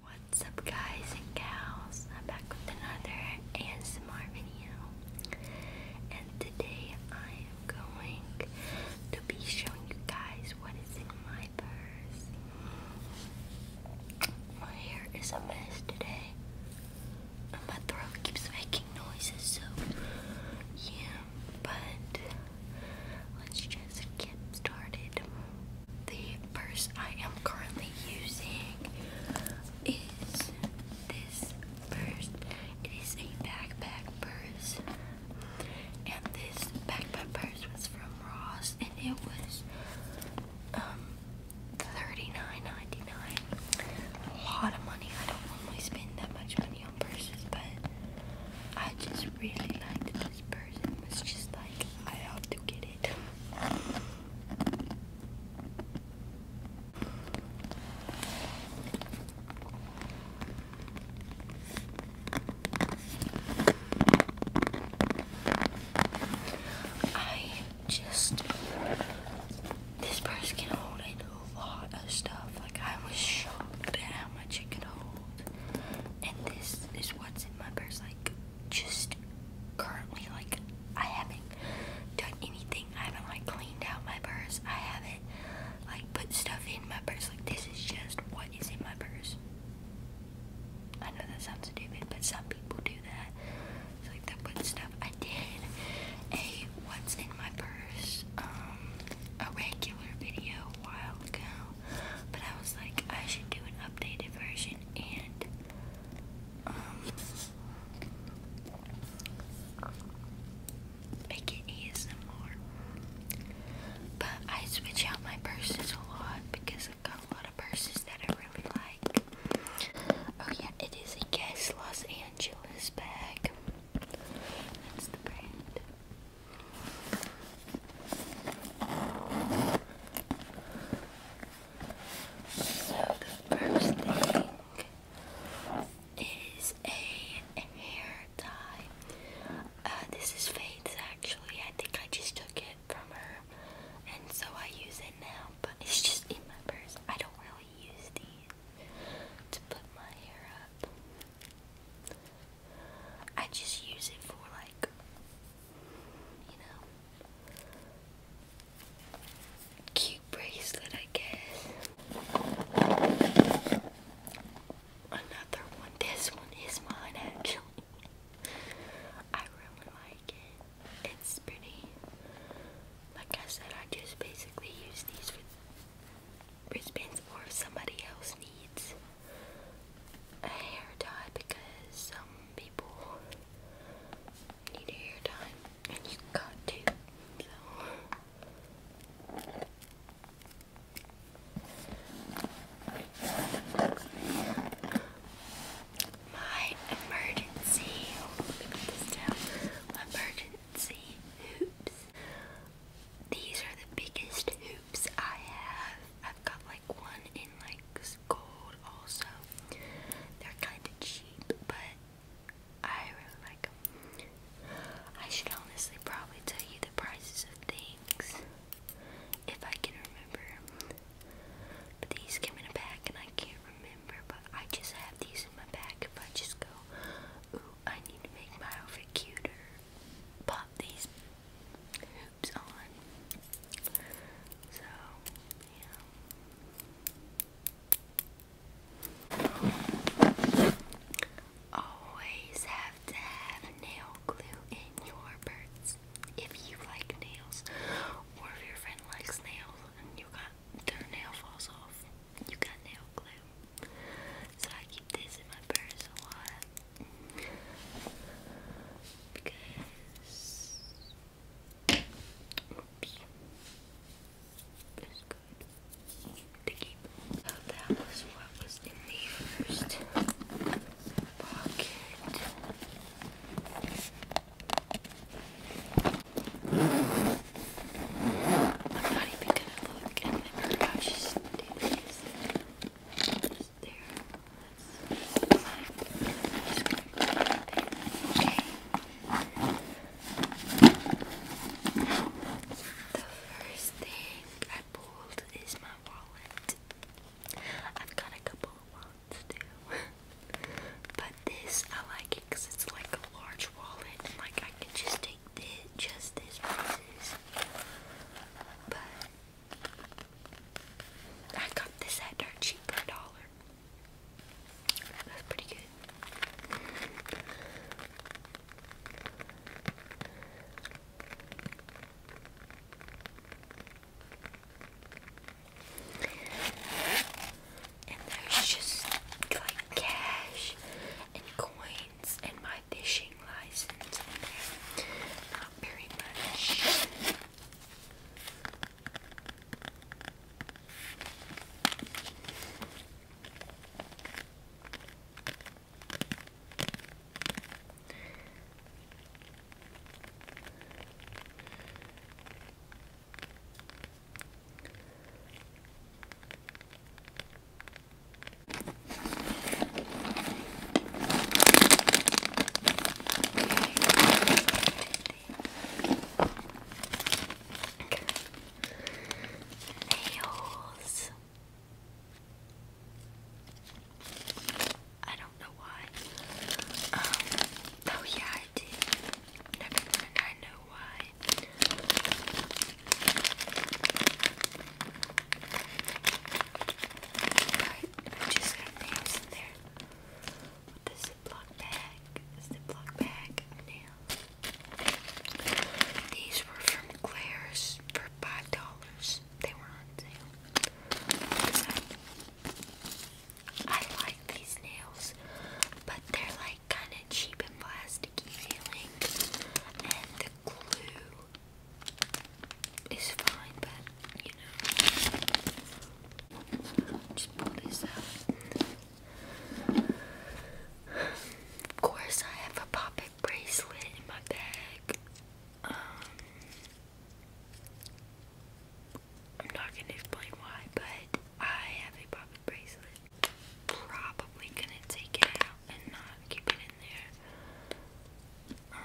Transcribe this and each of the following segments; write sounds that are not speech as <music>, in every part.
What's up guys and gals, I'm back with another ASMR video and today I am going to be showing you guys what is in my purse. My hair is a mess today and my throat keeps making noises so yeah, but let's just get started the purse I am currently using is this purse. It is a backpack purse. And this backpack purse was from Ross and it was um $39.99. A lot of money. I don't normally spend that much money on purses, but I just really like. it this person was just like, I have to get it. I just this person can hold a lot of stuff. Like I was shocked at how much it could hold. And this is what's in my purse just currently like I haven't done anything. I haven't like cleaned out my purse. I haven't like put stuff in my purse. Like this is just what is in my purse. I know that sounds stupid, but some people do that. like they put stuff. I did a what's in my purse um a regular video a while ago but I was like, I should do an updated version and um, make it ASMR. But I switch out my purses a lot because I've got a lot of purses that I really like. Oh yeah, it is a Guess Los Angeles bag. That's the brand. So the first thing is a hair dye. Uh, this is Faith's actually. I think I just took it from her, and so I use it now. But it's just in my purse. I don't really use these to put my hair up. I just use it for like, you know, cute bracelet, I guess. Another one. This one is mine actually. I really like it. It's pretty. Like I said, I just basically use these for wristbands or if somebody else needs a hair dye because some people need a hair dye and you got to. So my emergency. Let me put this down. My emergency hoops. These are the biggest hoops I have. I've got like one in like gold also. They're kind of cheap, but I really like them. I should honestly probably tell you the prices of things if I can remember. But these come in a pack, and I can't remember, but I just have these in my pack. if I just go, ooh, I need to make my outfit cuter pop these hoops on. So, yeah. Always have to have nail glue in your purse if you like nails, or if your friend likes nails and you got their nail falls off, you got nail glue. So I keep this in my purse a lot. Because It's good to keep. So that was what was in the first pocket. I'm not even gonna look at my brushes. Just there. That's Okay. The first thing I pulled is my wallet. I've got a couple of wallets too. but this I like it because it's like a large wallet and like I can just take just these prices, But I got this at dirt cheap dollar. That's pretty good. And there's just like cash and coins and my fishing license, not very much. Nails. I don't know why. Um, oh yeah, I did. I know why. just going nails in there. With the Ziploc bag. Ziploc bag nails. These were from Claire's for five dollars. They were on sale. I like these nails, but they're like kind of cheap and plasticky feeling, and the glue is fine, but just pull this out. Of course, I have a pop-it bracelet in my bag. Um, I'm not gonna explain why, but I have a pop-it bracelet probably gonna take it out and not keep it in there. Um,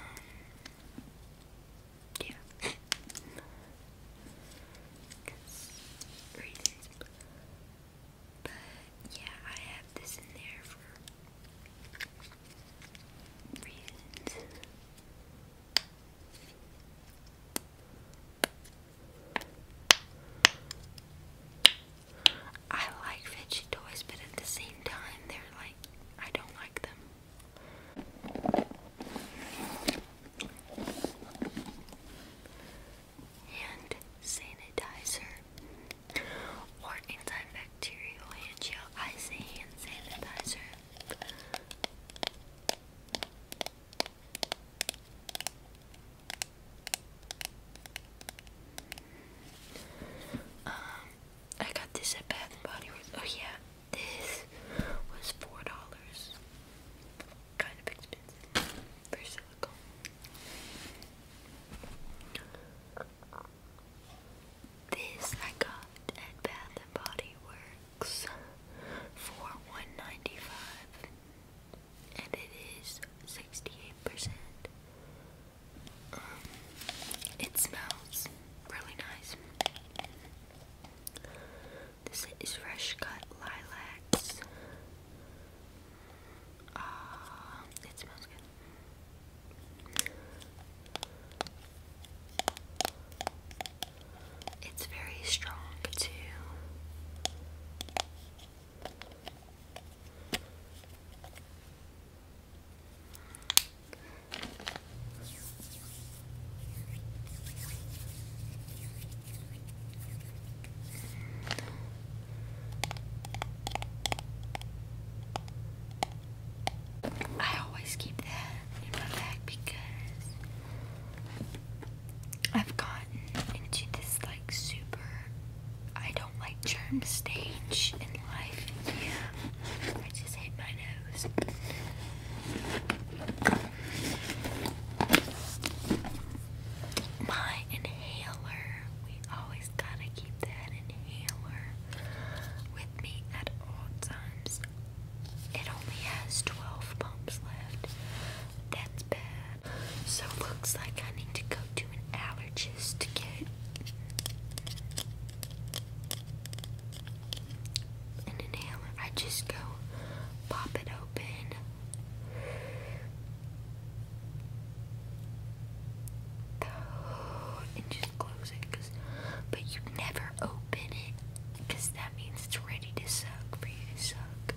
yeah. reasons. But yeah, I have this in there for reasons. I like fidget toys, but at the same time, they're like, I don't like them. Hand sanitizer or antibacterial hand gel. I say sanitizer. Um, I got this at Bath and Body Works. Oh yeah, this was four dollars. Kind of expensive for silicone. This I got at Bath and Body Works for one ninety five and it is 68%. Um, it smells really nice. This is fresh cut lilacs. Uh, it smells good. It's very strong too. I always keep that in my bag because I've gotten into this like super I don't like germ stage in life. Yeah. I just hit my nose. My inhaler. We always gotta keep that inhaler with me at all times. It only has 12 pumps left. That's bad. So looks like I need to go to an allergist to get an inhaler. I just go pop it open. Oh, and just close it, cause, but you never open it because that means it's ready to suck for you to suck.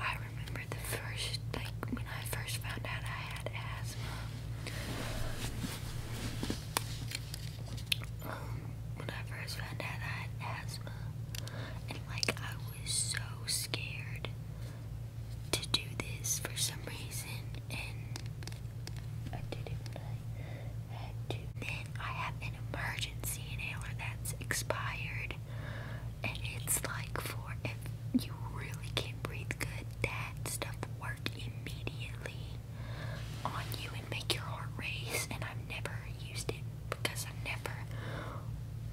I remember the first, like, when I first found out I had asthma. Um, when I first found out I had asthma, and, like, I was so scared to do this for some reason, and I did it when had to. Then I have an emergency inhaler that's expired and it's like for if you really can't breathe good, that stuff will work immediately on you and make your heart race and I've never used it because I never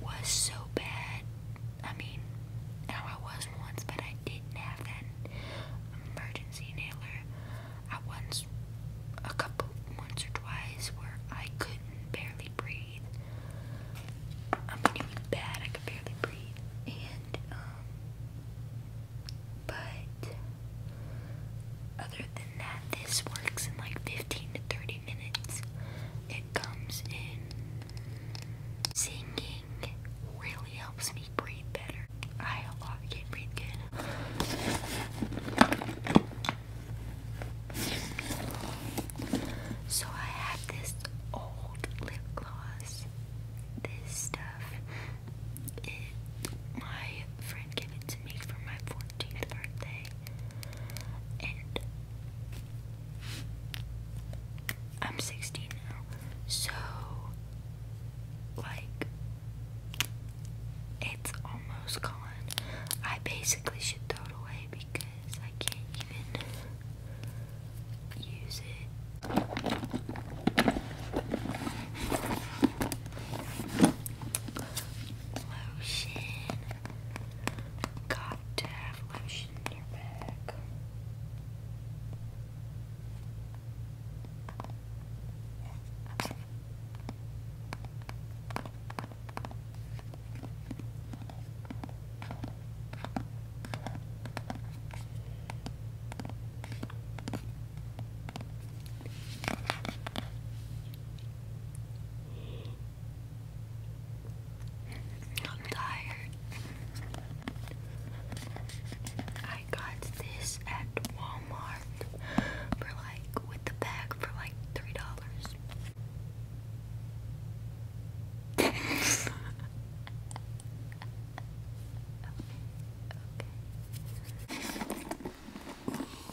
was so bad. I mean, now I was once, but I didn't have that emergency inhaler. I once a couple once or twice where I couldn't barely breathe. I mean, it bad. I could barely breathe, and um, but other than that, this works in like 15 to 30 minutes. It comes in singing. Really helps me breathe better. I hope I can breathe good. So I have this old lip gloss. This stuff. It, my friend gave it to me for my 14th birthday. And I'm 16 now. So like it's almost gone. I basically should throw it away because I can't even use it. Lotion. Got to have lotion in your bag. I'm tired. I I got this at Walmart for like with the bag for like three dollars. <laughs> okay,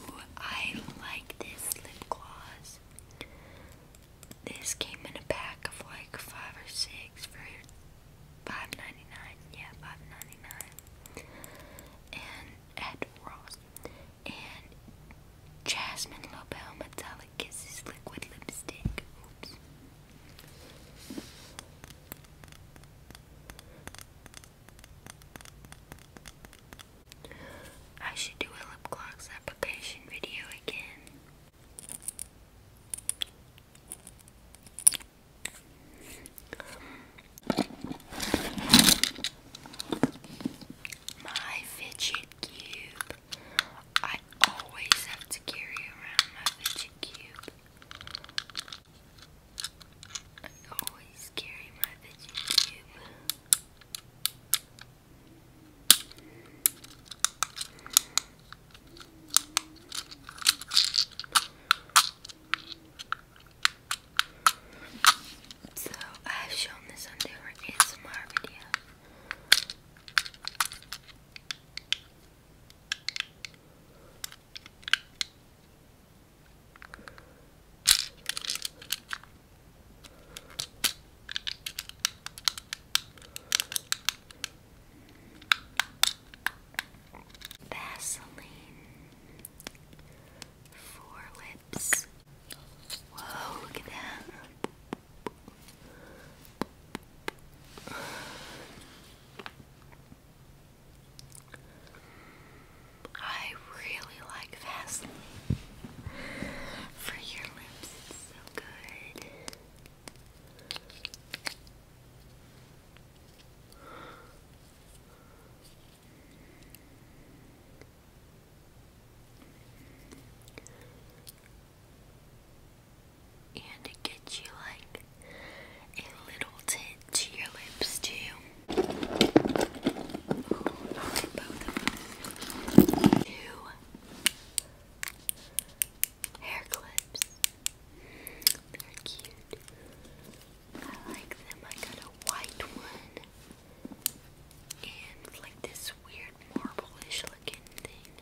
Ooh, I like this lip gloss. This came in a pack of like five or six for 5 Yeah, 5 And at Ross. And Jasmine Lobel Metallic Kisses Liquid Lipstick. Oops. I should do a lip gloss application video again. My fidget cube. I always have to carry around my fidget cube. I always carry my fidget cube. So I have shown this on different ASMR videos. Vaseline for lips. Whoa, look at that. I really like Vaseline for your lips. It's so good. And it gets you like a little tint to your lips too. Two hair clips. They're cute. I like them. I got a white one and like this weird marble-ish looking thing.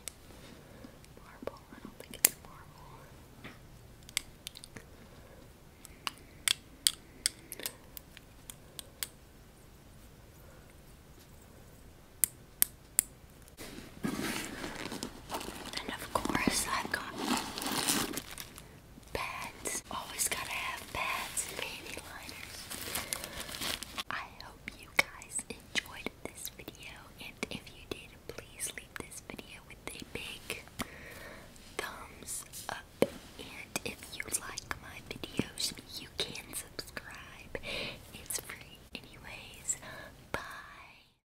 Marble, I don't think it's marble. And of course, I've got pads. Always gotta have pads and baby liners. I hope you guys enjoyed this video, and if you did, please leave this video with a big thumbs up. And if you like my videos, you can subscribe. It's free, anyways. Bye.